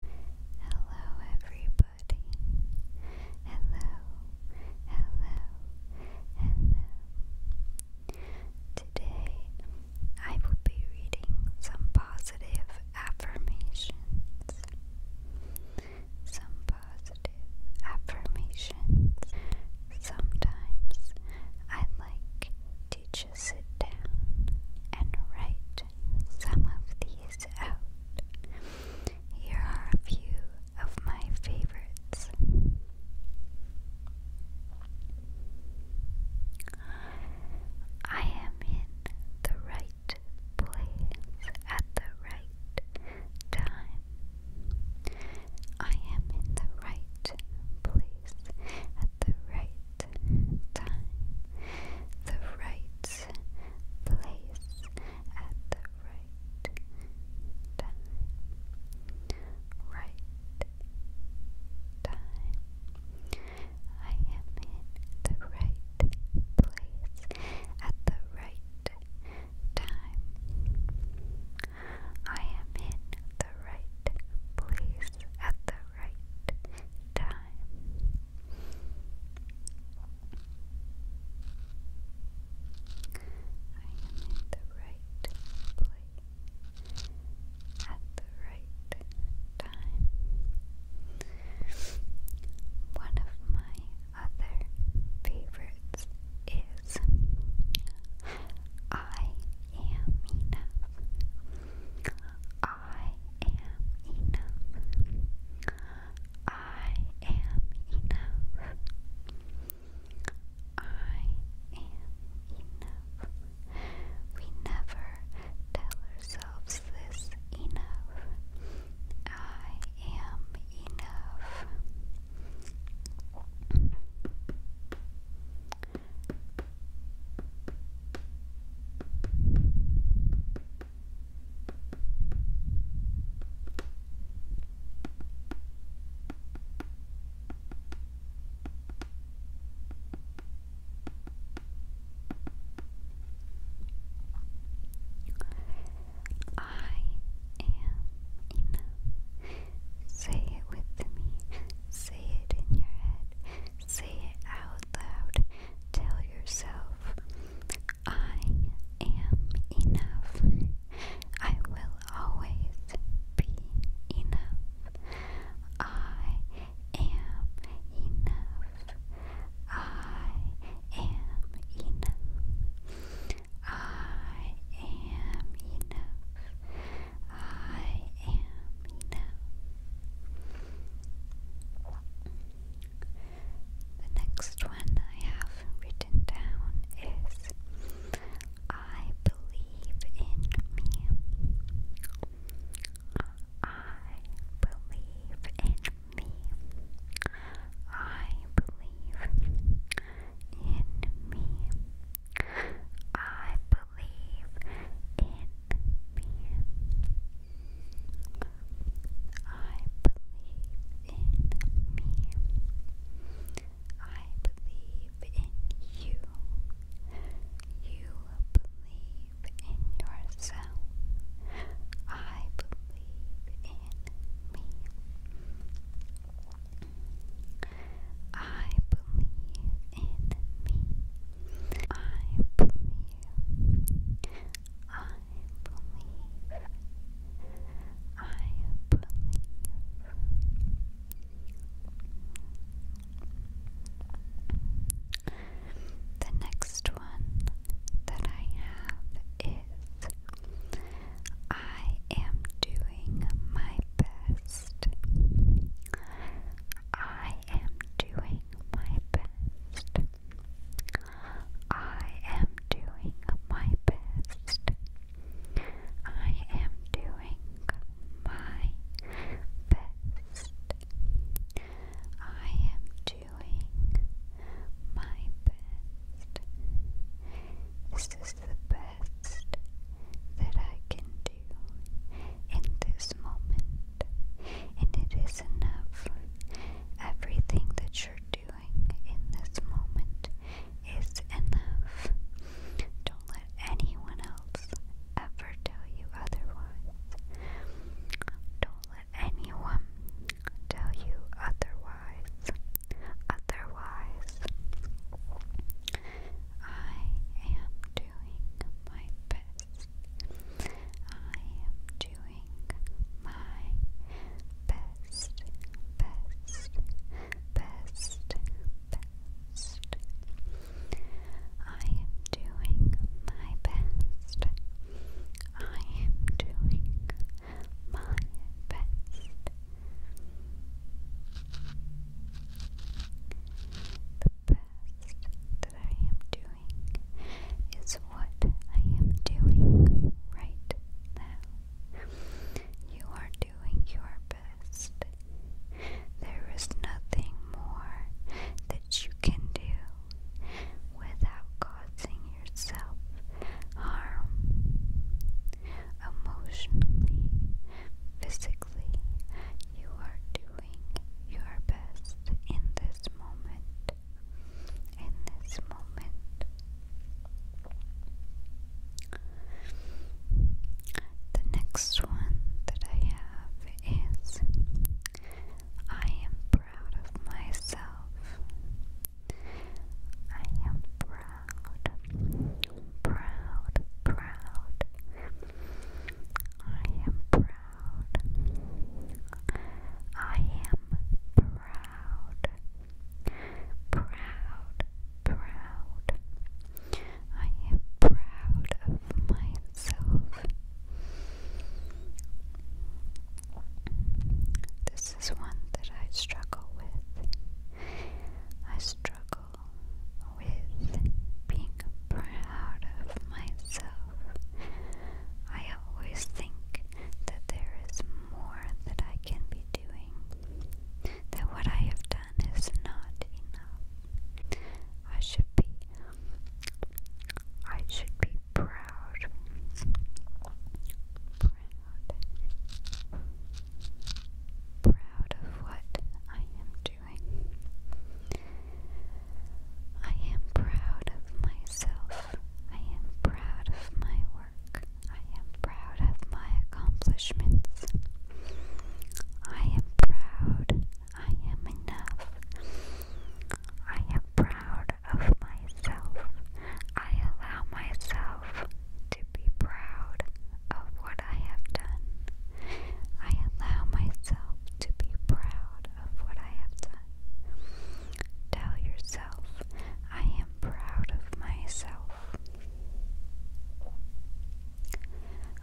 Hello, everybody. Hello, hello, hello. Today I will be reading some positive affirmations. Some positive affirmations. Sometimes I like to to sit down and write some of these out. Here are a few of my favorites. I am in the right place at the right time. I am in the right place at the right time, the right place at the right time. I am in the right place at the right time. I am in the right place at the right time. I am in the right place at the right time. One of my other favorites is I am enough. I am enough. I am enough. I am enough. We never tell ourselves this enough. I am enough. I am enough. Say it with me. Say it in your head. Say it out loud. Tell yourself, I am enough. I will always be enough. I am enough. I am enough. I am enough. I am The next one I have written down is I believe in me. I believe in me. I believe in me. I believe in me. I believe in me. I believe in you. You believe in yourself. I believe in me. I believe in me. I believe. I believe. I believe. The next one that I have is I am doing my best. I am doing my best. I am doing my best. I am doing my best. I am doing my best. This is the best best that I can do in this moment, and it is enough. Everything that you're doing in this moment is enough. Don't let anyone else ever tell you otherwise. Don't let anyone tell you otherwise. Otherwise, I am doing my best. I am doing my best, best, best, best. I am doing my best. I am doing my best. The best that I am doing is what I am doing right now. You are doing your best. There is nothing more that you can do without causing yourself harm emotionally, physically, you are doing your best in this moment. In this moment, the next one that I have is I am proud of myself. I am proud, proud, proud. I am proud. I am proud. Proud, proud. I am proud of myself. This is one that I struggle with. I struggle with being proud of myself. I always think that there is more that I can be doing, that what I have done is not enough. I should be I should be proud. proud proud. of what I am doing. I am proud of myself. I am proud of my work. I am proud of my accomplishments. I am proud. I am enough. I am proud of myself. I allow myself to be proud of what I have done. I allow myself to be proud of what I have done. Tell yourself, I am proud of myself.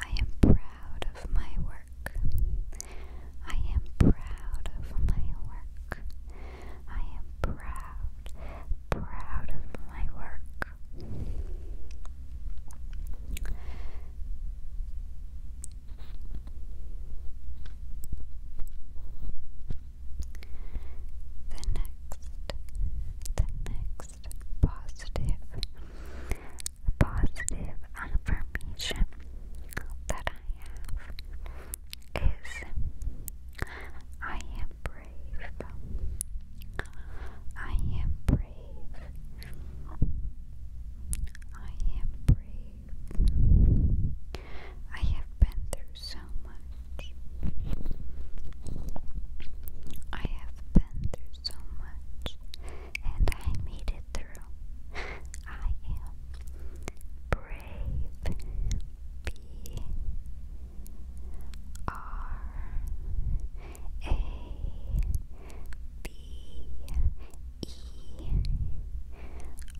I am proud of my work. I am proud of my work. I am proud, proud of my work. The next, the next positive, positive affirmation that I have is I am brave. I am brave. I am brave. I have been through so much. I have been through so much and I made it through. I am brave. B R A B E. I am brave.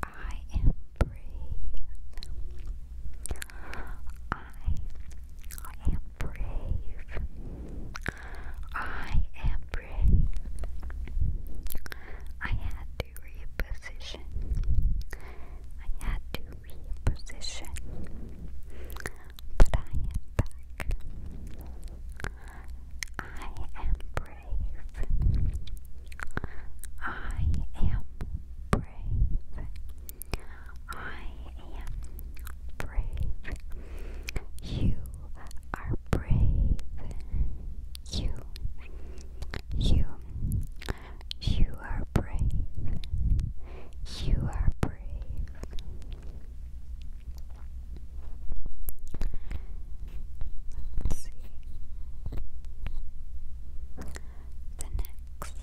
I am brave. I am brave. I had reposition. I had to reposition. But I am back. I am brave. I am brave. I am brave. You are brave. You, you, you are brave. You are brave. Let's see. The next,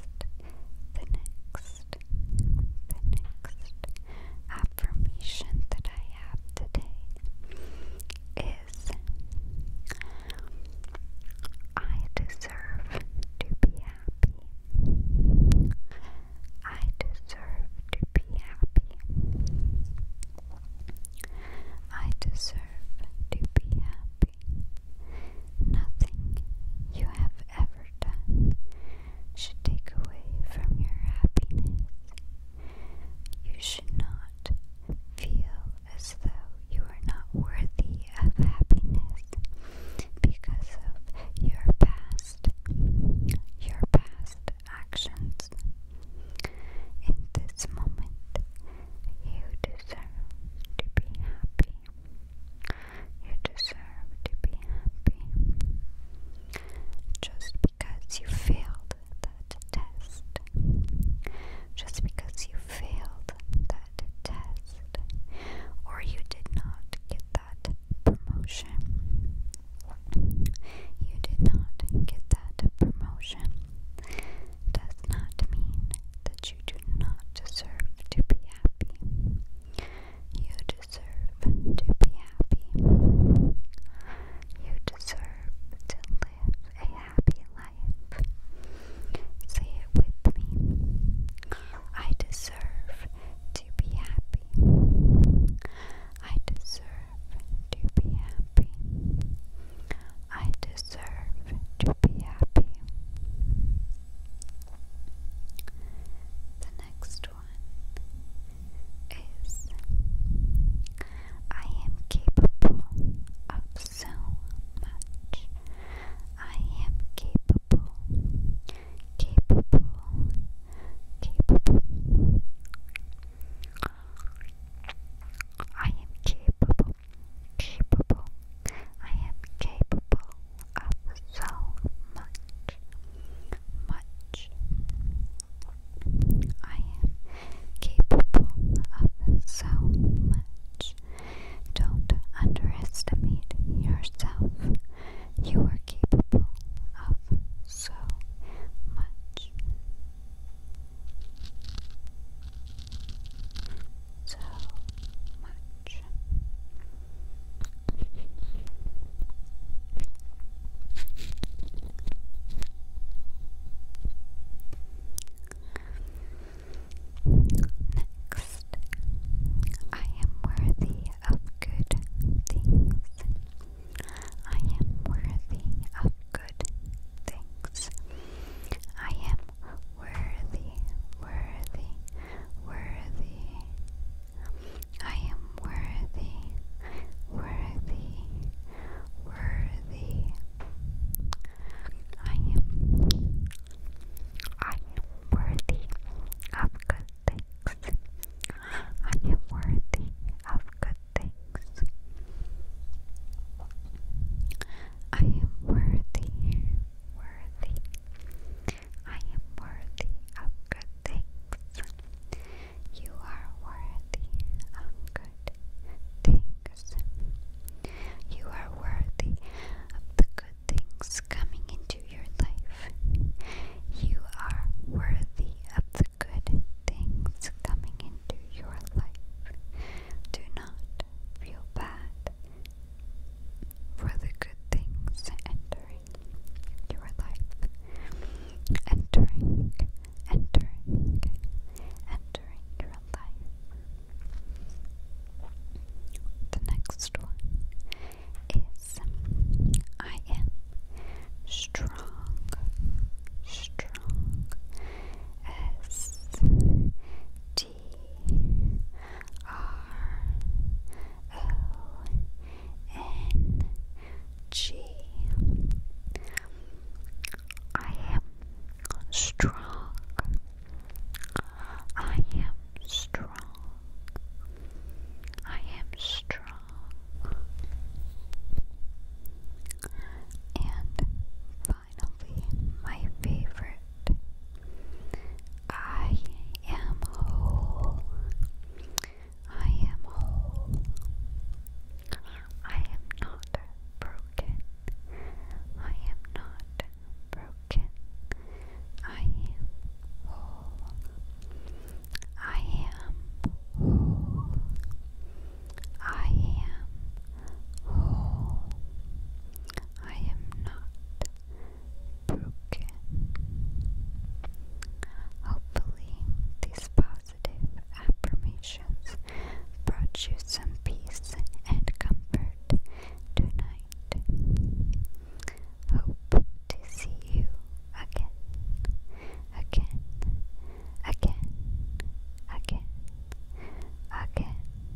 the next, the next affirmation that I have today is I deserve to be happy. I deserve to be happy. I deserve to be happy. Nothing you have ever done should take away from your happiness. You should not feel as though you are not worthy of happiness because of your past, your past actions. In this moment, you deserve to be happy. You deserve to be happy. Just because you failed that test. Just because you failed that test or you did not get that promotion. You did not get that promotion does not mean that you do not deserve to be happy. You deserve to be happy. You deserve to live a happy life. Say it with me. I deserve to be happy. I deserve to be happy. I deserve to be happy. The next one is I am capable of so much. I am capable, capable, capable. I am capable, capable. I am capable up so much, much. I am capable of so much. Don't underestimate yourself. You are capable of so much. So much. Next, I am worthy of good things. I am worthy of good things. I am worthy, worthy, worthy. I am worthy, worthy, worthy. I am, I am worthy of good things. I am worthy of good things. I am worthy, worthy. I am worthy of good things. You are worthy of good things. You are worthy of the good things coming into your life. You are worthy of the good things coming into your life. Do not feel bad for the good things entering your life. Entering, entering, entering your life. The next one is I am strong, strong as T R O N G. I am strong. I am strong. I am strong. And finally, my favorite. I am whole. I am whole. I am not broken. I am not broken. I am whole. I am whole. I am whole. I am not Hopefully, these positive affirmations brought you some peace and comfort tonight. Hope to see you again, again, again, again, again,